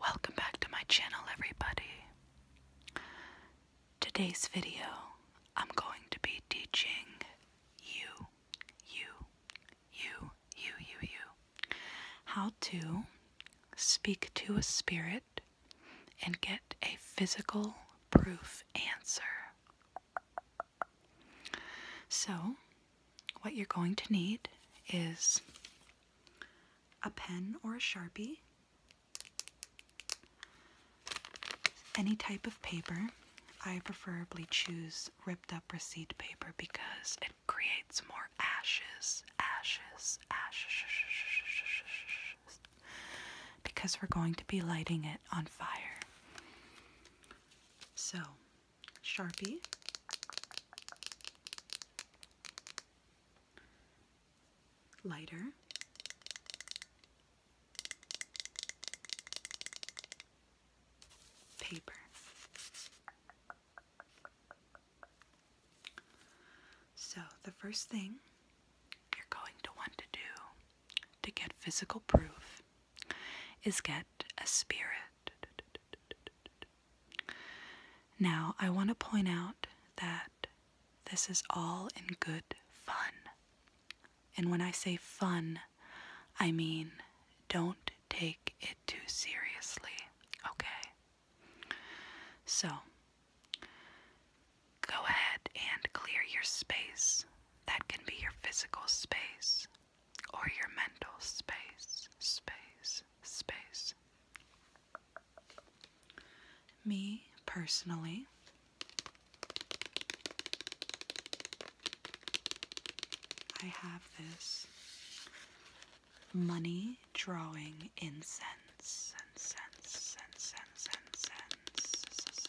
Welcome back to my channel, everybody. Today's video, I'm going to be teaching you, you, you, you, you, you, how to speak to a spirit and get a physical proof answer. So, what you're going to need is a pen or a sharpie, any type of paper. I preferably choose ripped up receipt paper because it creates more ashes, ashes, ashes, because we're going to be lighting it on fire. So, Sharpie. Lighter. Paper. So, the first thing you're going to want to do to get physical proof is get a spirit now, I want to point out that this is all in good fun. And when I say fun, I mean don't take it too seriously, okay? So, go ahead and clear your space. That can be your physical space, or your mental space, space, space. Me personally, I have this money drawing incense, incense, incense, incense, incense.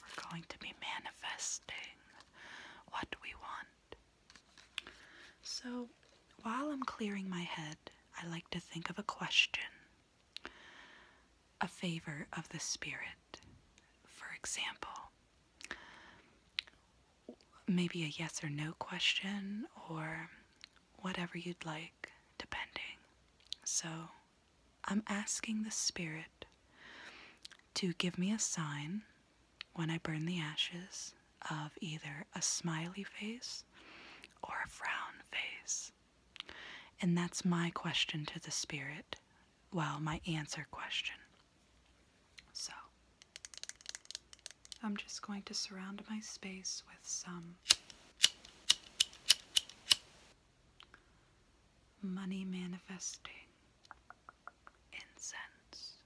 We're going to be manifesting what we want. So, while I'm clearing my head, I like to think of a question, a favor of the Spirit. For example, maybe a yes or no question or whatever you'd like, depending. So, I'm asking the Spirit to give me a sign when I burn the ashes of either a smiley face or a frown face. And that's my question to the Spirit. Well, my answer question. So, I'm just going to surround my space with some money manifesting incense.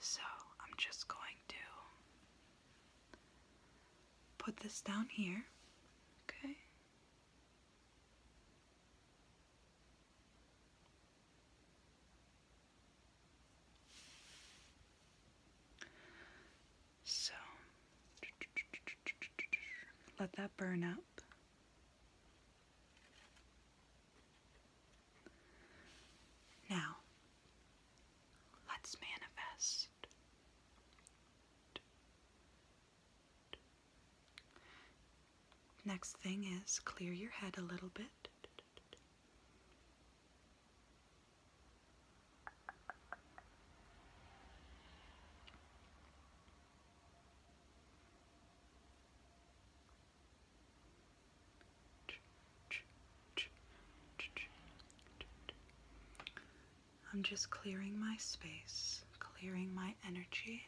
So I'm just going to put this down here, okay? So let that burn up. Now, let's manifest. Next thing is clear your head a little bit. I'm just clearing my space, clearing my energy.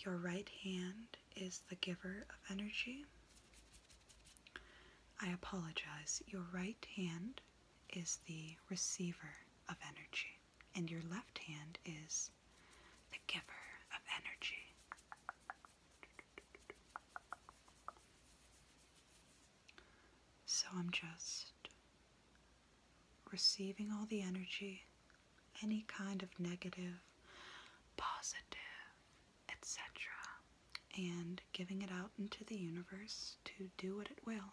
Your right hand is the giver of energy. I apologize. Your right hand is the receiver of energy, and your left hand is the giver of energy. So I'm just receiving all the energy, any kind of negative, positive, etc., and giving it out into the universe to do what it will.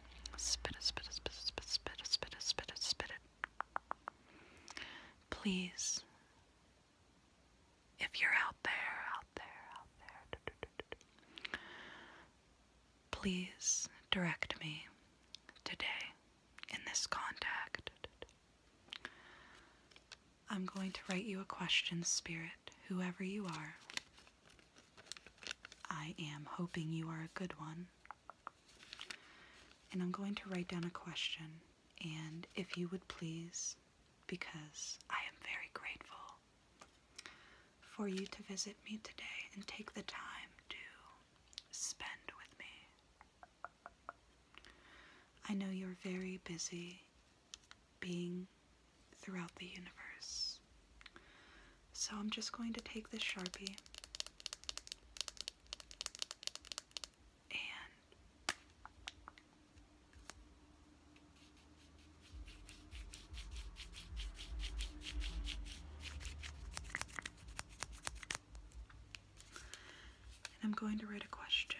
Spit it, spit it, spit it, spit it, spit it, spit it, spit it, spit it. Please, if you're out there, out there, out there, please direct me today in this contact. I'm going to write you a question, Spirit, whoever you are. I am hoping you are a good one. And I'm going to write down a question. And if you would please, because I am very grateful for you to visit me today and take the time to spend with me. I know you're very busy being throughout the universe. So I'm just going to take this Sharpie and I'm going to write a question.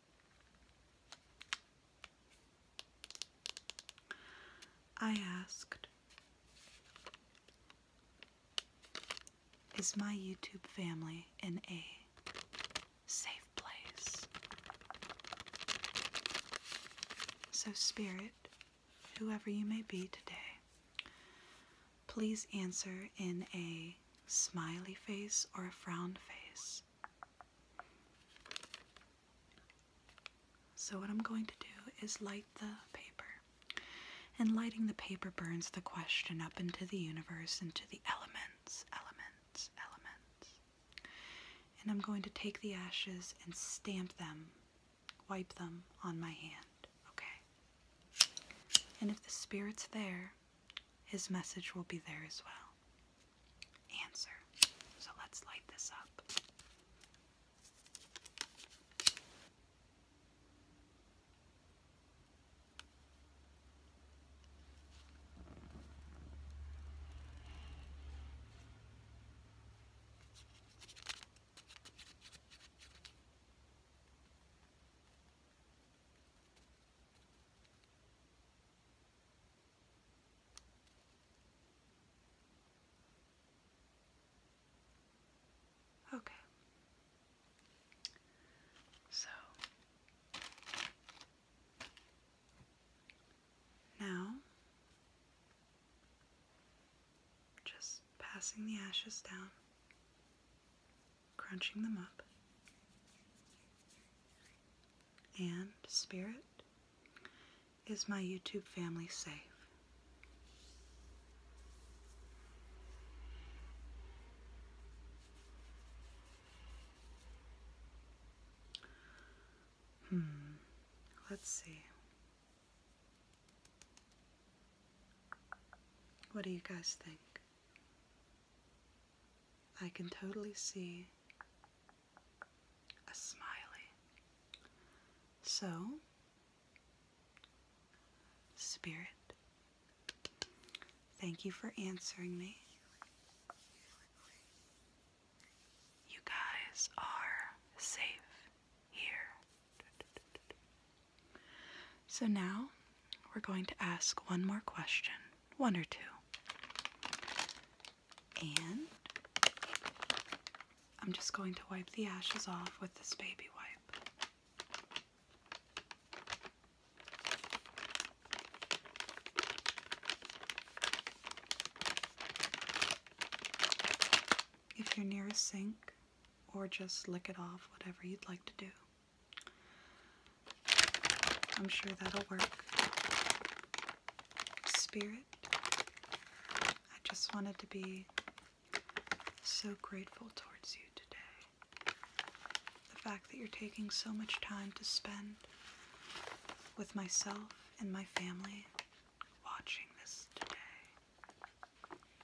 I asked, Is my YouTube family in a safe place? So, Spirit, whoever you may be today, please answer in a smiley face or a frown face. So, what I'm going to do is light the paper. And lighting the paper burns the question up into the universe, into the elements, elements, elements. And I'm going to take the ashes and stamp them, wipe them on my hand, okay? And if the spirit's there, his message will be there as well. Answer. So let's light this up. Okay. So now just passing the ashes down crunching them up. And Spirit, is my YouTube family safe? Hmm, let's see. What do you guys think? I can totally see a smiley. So, Spirit, thank you for answering me. You guys are safe here. So now we're going to ask one more question, one or two. And I'm just going to wipe the ashes off with this baby wipe. If you're near a sink, or just lick it off, whatever you'd like to do. I'm sure that'll work. Spirit, I just wanted to be so grateful towards you today. The fact that you're taking so much time to spend with myself and my family watching this today.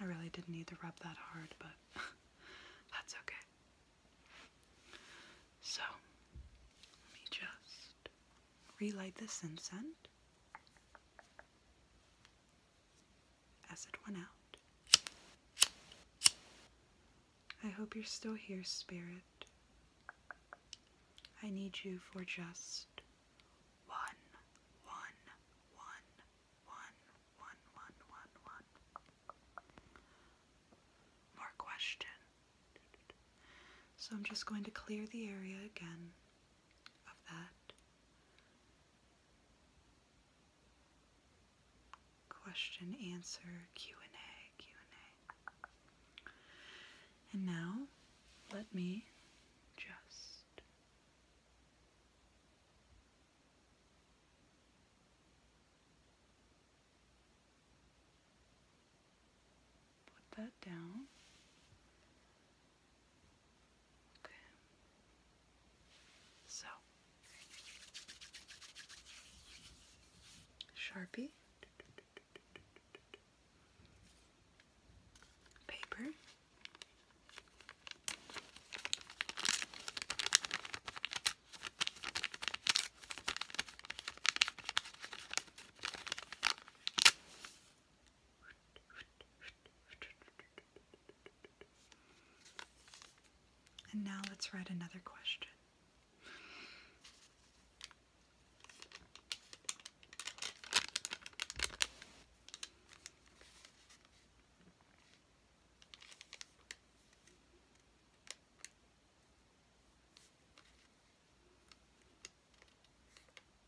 I really didn't need to rub that hard, but that's okay. So, let me just relight this incense as it went out. I hope you're still here, Spirit. I need you for just one, one, one, one, one, one, one, one. More question. So I'm just going to clear the area again of that Question answer Q&A Q&A. And now let me just put that down so, Sharpie, paper, and now let's read another question.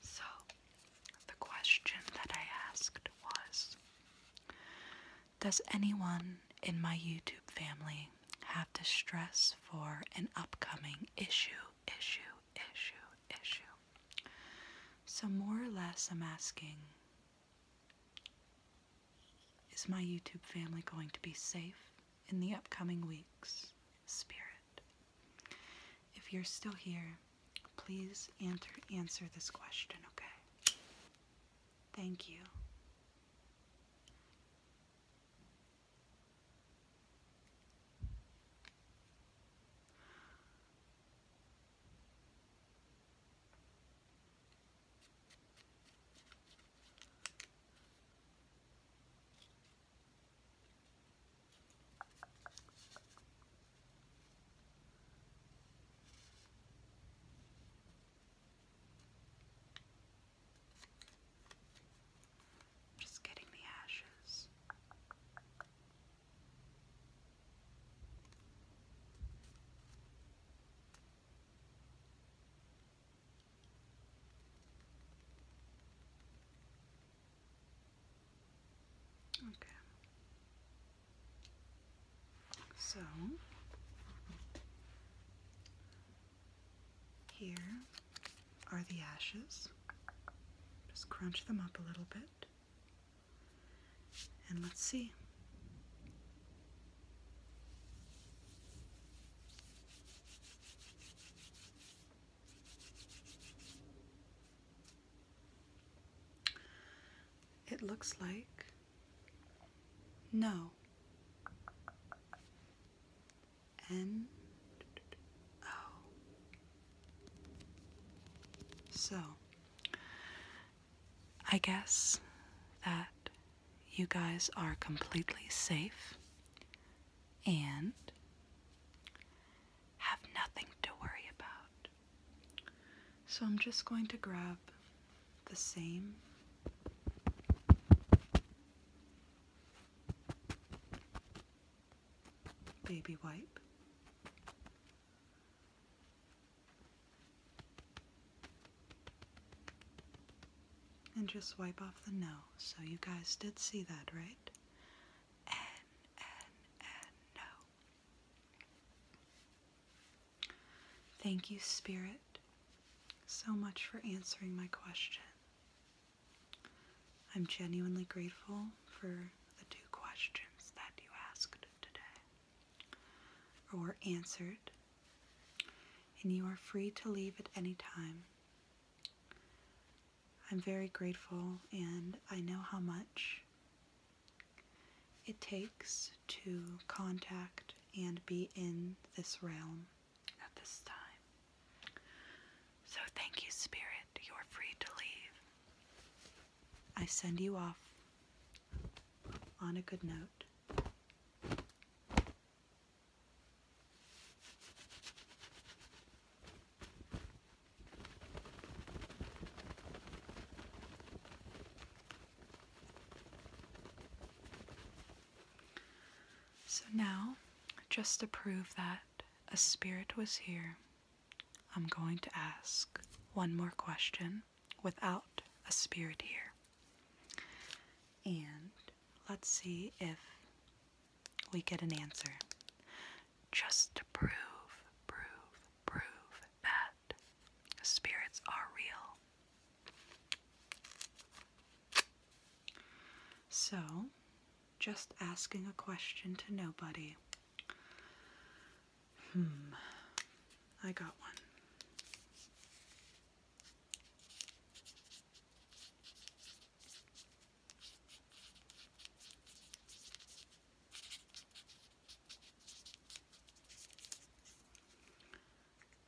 So, the question that I asked was Does anyone in my YouTube family have distress for an upcoming issue, issue, issue, issue? So, more or less, I'm asking Is my YouTube family going to be safe in the upcoming weeks? Spirit. If you're still here, Please answer, answer this question, okay? Thank you. Just getting the ashes. Okay. So here are the ashes. Just crunch them up a little bit. And let's see. It looks like no. And So, I guess that you guys are completely safe and have nothing to worry about. So I'm just going to grab the same baby wipe. And just wipe off the nose. So you guys did see that, right? no. Thank you, Spirit, so much for answering my question. I'm genuinely grateful for the two questions that you asked today or answered, and you are free to leave at any time. I'm very grateful and I know how much it takes to contact and be in this realm at this time. So thank you, Spirit. You're free to leave. I send you off on a good note. So now, just to prove that a spirit was here, I'm going to ask one more question without a spirit here. And let's see if we get an answer. Just to prove, prove, prove that spirits are real. So, just asking a question to nobody. Hmm, I got one.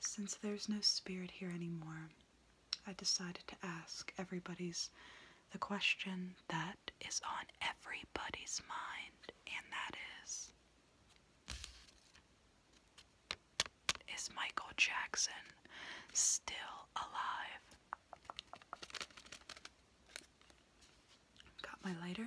Since there's no spirit here anymore, I decided to ask everybody's the question that is on everybody's mind, and that is Is Michael Jackson still alive? Got my lighter.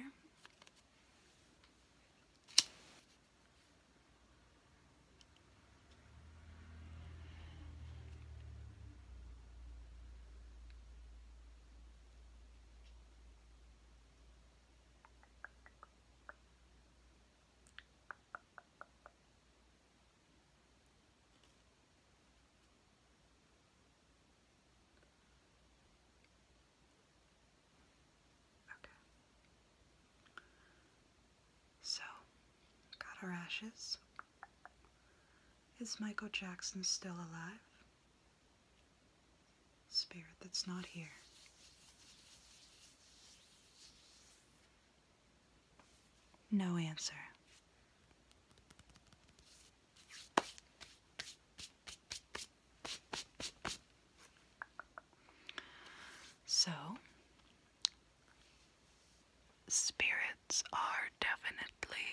Okay. So, got our ashes. Is Michael Jackson still alive? Spirit that's not here. No answer. So, spirits are definitely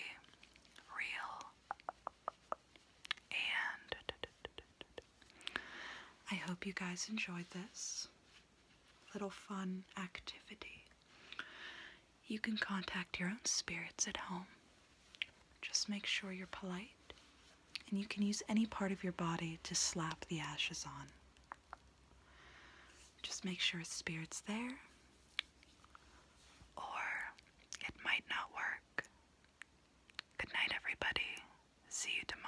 real. And I hope you guys enjoyed this little fun activity. You can contact your own spirits at home. Just make sure you're polite, and you can use any part of your body to slap the ashes on. Just make sure spirit's there, or it might not work. Good night, everybody. See you tomorrow.